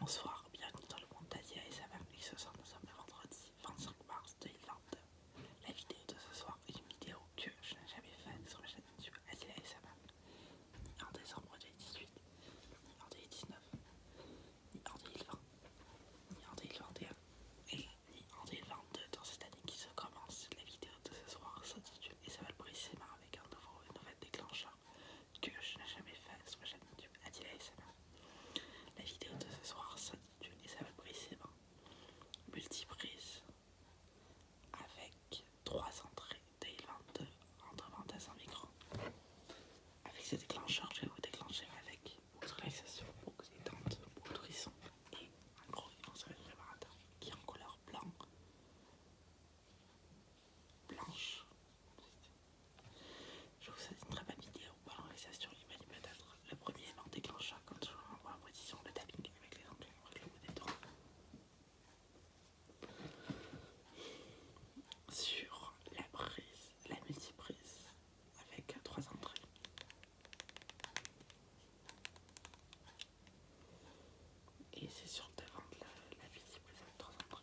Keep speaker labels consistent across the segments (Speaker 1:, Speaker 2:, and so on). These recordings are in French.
Speaker 1: Bonsoir, bienvenue dans le monde d'Asia et sa et Ce soir, nous sommes le vendredi 25 mars 2022. La vidéo de ce soir est une vidéo que je n'ai jamais faite sur ma chaîne YouTube Asia et sa ni en décembre 2018, ni en 2019, ni en 2020, ni en 2021, et ni en 2022. Dans cette année qui se commence, la vidéo de ce soir s'intitule et ça va le précisément avec un nouveau, une déclencheur que je n'ai jamais fait soit chaîne YouTube Adil ASMR. La vidéo de ce soir s'intitule et ça va précisément hein. multiprise avec 3 entrées Day22 entre et un micro. Avec ce déclencheur, je vais vous déclencher avec votre relaxation, beaucoup détente, box tourisson et un gros événement préparateur qui est en couleur blanc, blanche je vous souhaite une très bonne vidéo pour la sur les peut-être Le premier élément déclencheur, quand toujours, voit en position de tapping avec les entrées avec le Sur la prise, la multiprise avec trois entrées. Et c'est surtout là que la vie plus intéressante.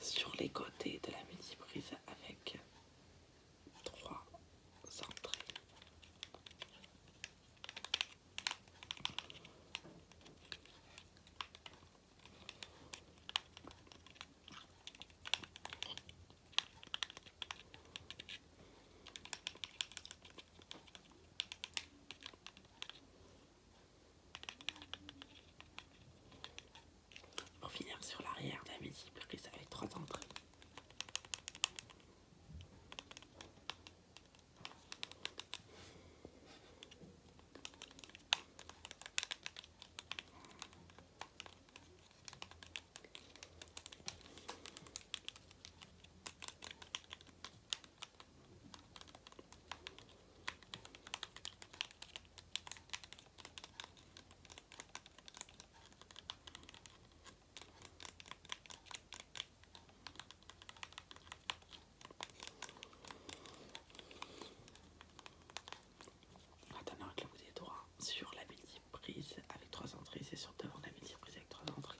Speaker 1: sur les côtés de la mini-brise avec trois entrées. On finir sur l'arrière que ça ça être trois entrées. Attends, avec le bout des doigts sur la bille Prise avec trois entrées. C'est surtout devant la surprise avec trois entrées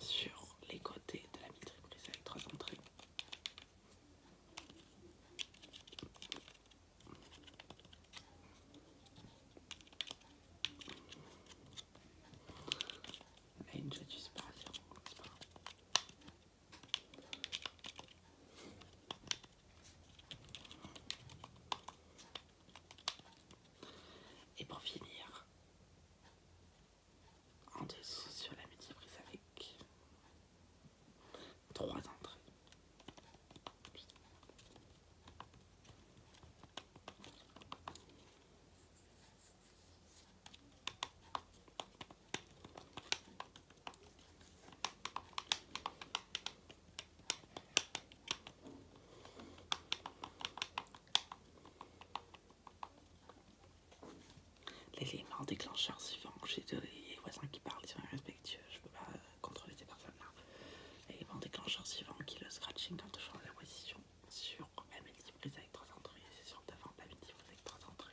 Speaker 1: sur les côtés de la vitre, prise trois entrées. Là, une jolie disparition. Et pour finir, en dessous sur la médiprise avec trois entrées. L'élément déclencheur suivant, j'ai des voisins qui parlent, ils sont irrespectueux, je peux pas contrôler ces personnes-là. L'élément déclencheur suivant qui le scratching quand toujours change la position sur ma prise avec trois entrées, c'est sur devant ma multiprise avec trois entrées.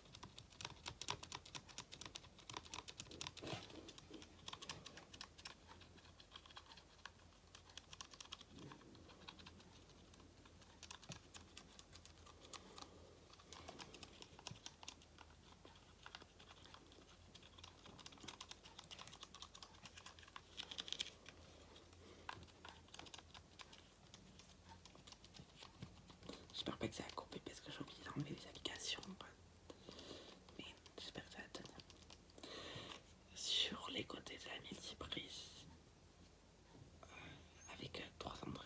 Speaker 1: J'espère pas que ça a coupé parce que j'ai oublié d'enlever les applications j'espère que ça va tenir. Sur les côtés de la multiprise euh, avec euh, trois endroits.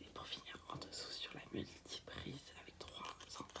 Speaker 1: Et pour finir en dessous sur la multiprise avec trois entrées.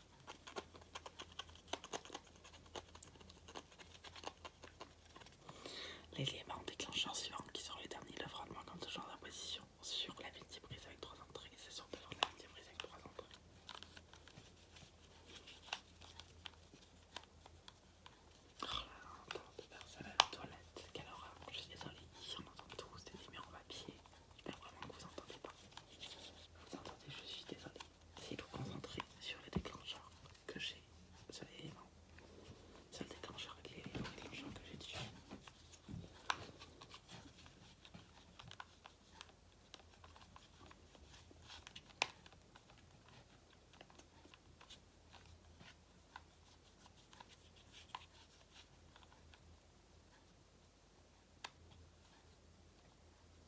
Speaker 1: L'élément déclencheur suivant qui sont les derniers le moi comme ce genre d'imposition sur la demi-brise avec trois entrées et c'est sur devant la demi-brise avec trois entrées. Oh là là, tant de ça à la toilette, quelle horreur, je suis désolée, on entend tous des numéros en papier, j'espère vraiment que vous entendez pas. Vous entendez, je suis désolée si vous concentrez sur les déclencheurs que j'ai, sur éléments, sur le déclencheur avec l'élément déclencheur que j'ai dessus.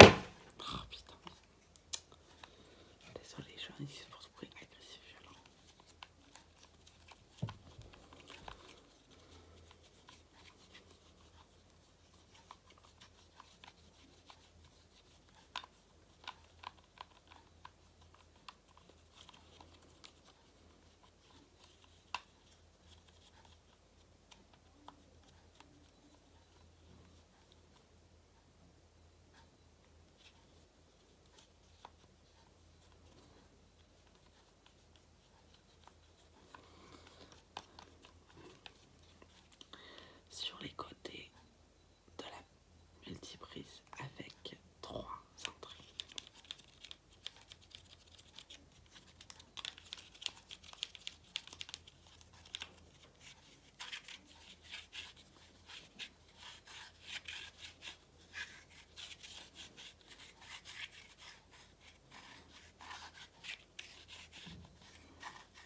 Speaker 1: Oh putain. Désolée, je suis en ici pour ce bruit agressif violent. Sur les côtés, de la multiprise avec trois entrées.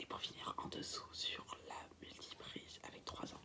Speaker 1: Et pour finir en dessous sur la multiprise avec trois entrées.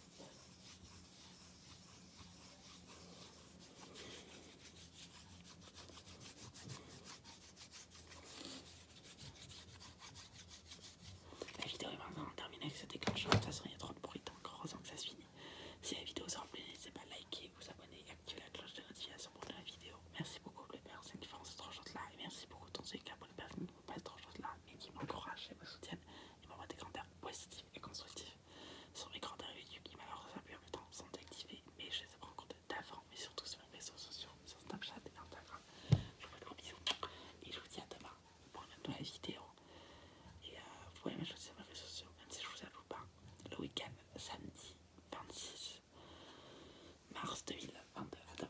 Speaker 1: La vidéo est maintenant terminée avec cette déclencheur. De toute façon, il y a trop de bruit, donc heureusement que ça se finit. Si la vidéo vous a plu, n'hésitez pas à liker, vous abonner et activer la cloche de notification pour la vidéo. Merci beaucoup, les personnes qui font ce tranchant là et merci beaucoup, ton qui pour le permis pas trop pas choses là mais qui m'encouragent et me soutiennent et m'envoient des commentaires positifs et constructifs. sur mes commentaires YouTube qui malheureusement la en même temps sont activés mais je les ai rencontrés d'avant mais surtout sur mes réseaux sociaux, sur Snapchat et Instagram. Je vous fais de gros bisous et je vous dis à demain pour une nouvelle vidéo. Et euh, vous pouvez m'ajouter sur mes réseaux sociaux même si je vous avoue pas. Le week-end samedi 26 mars 2022 à demain.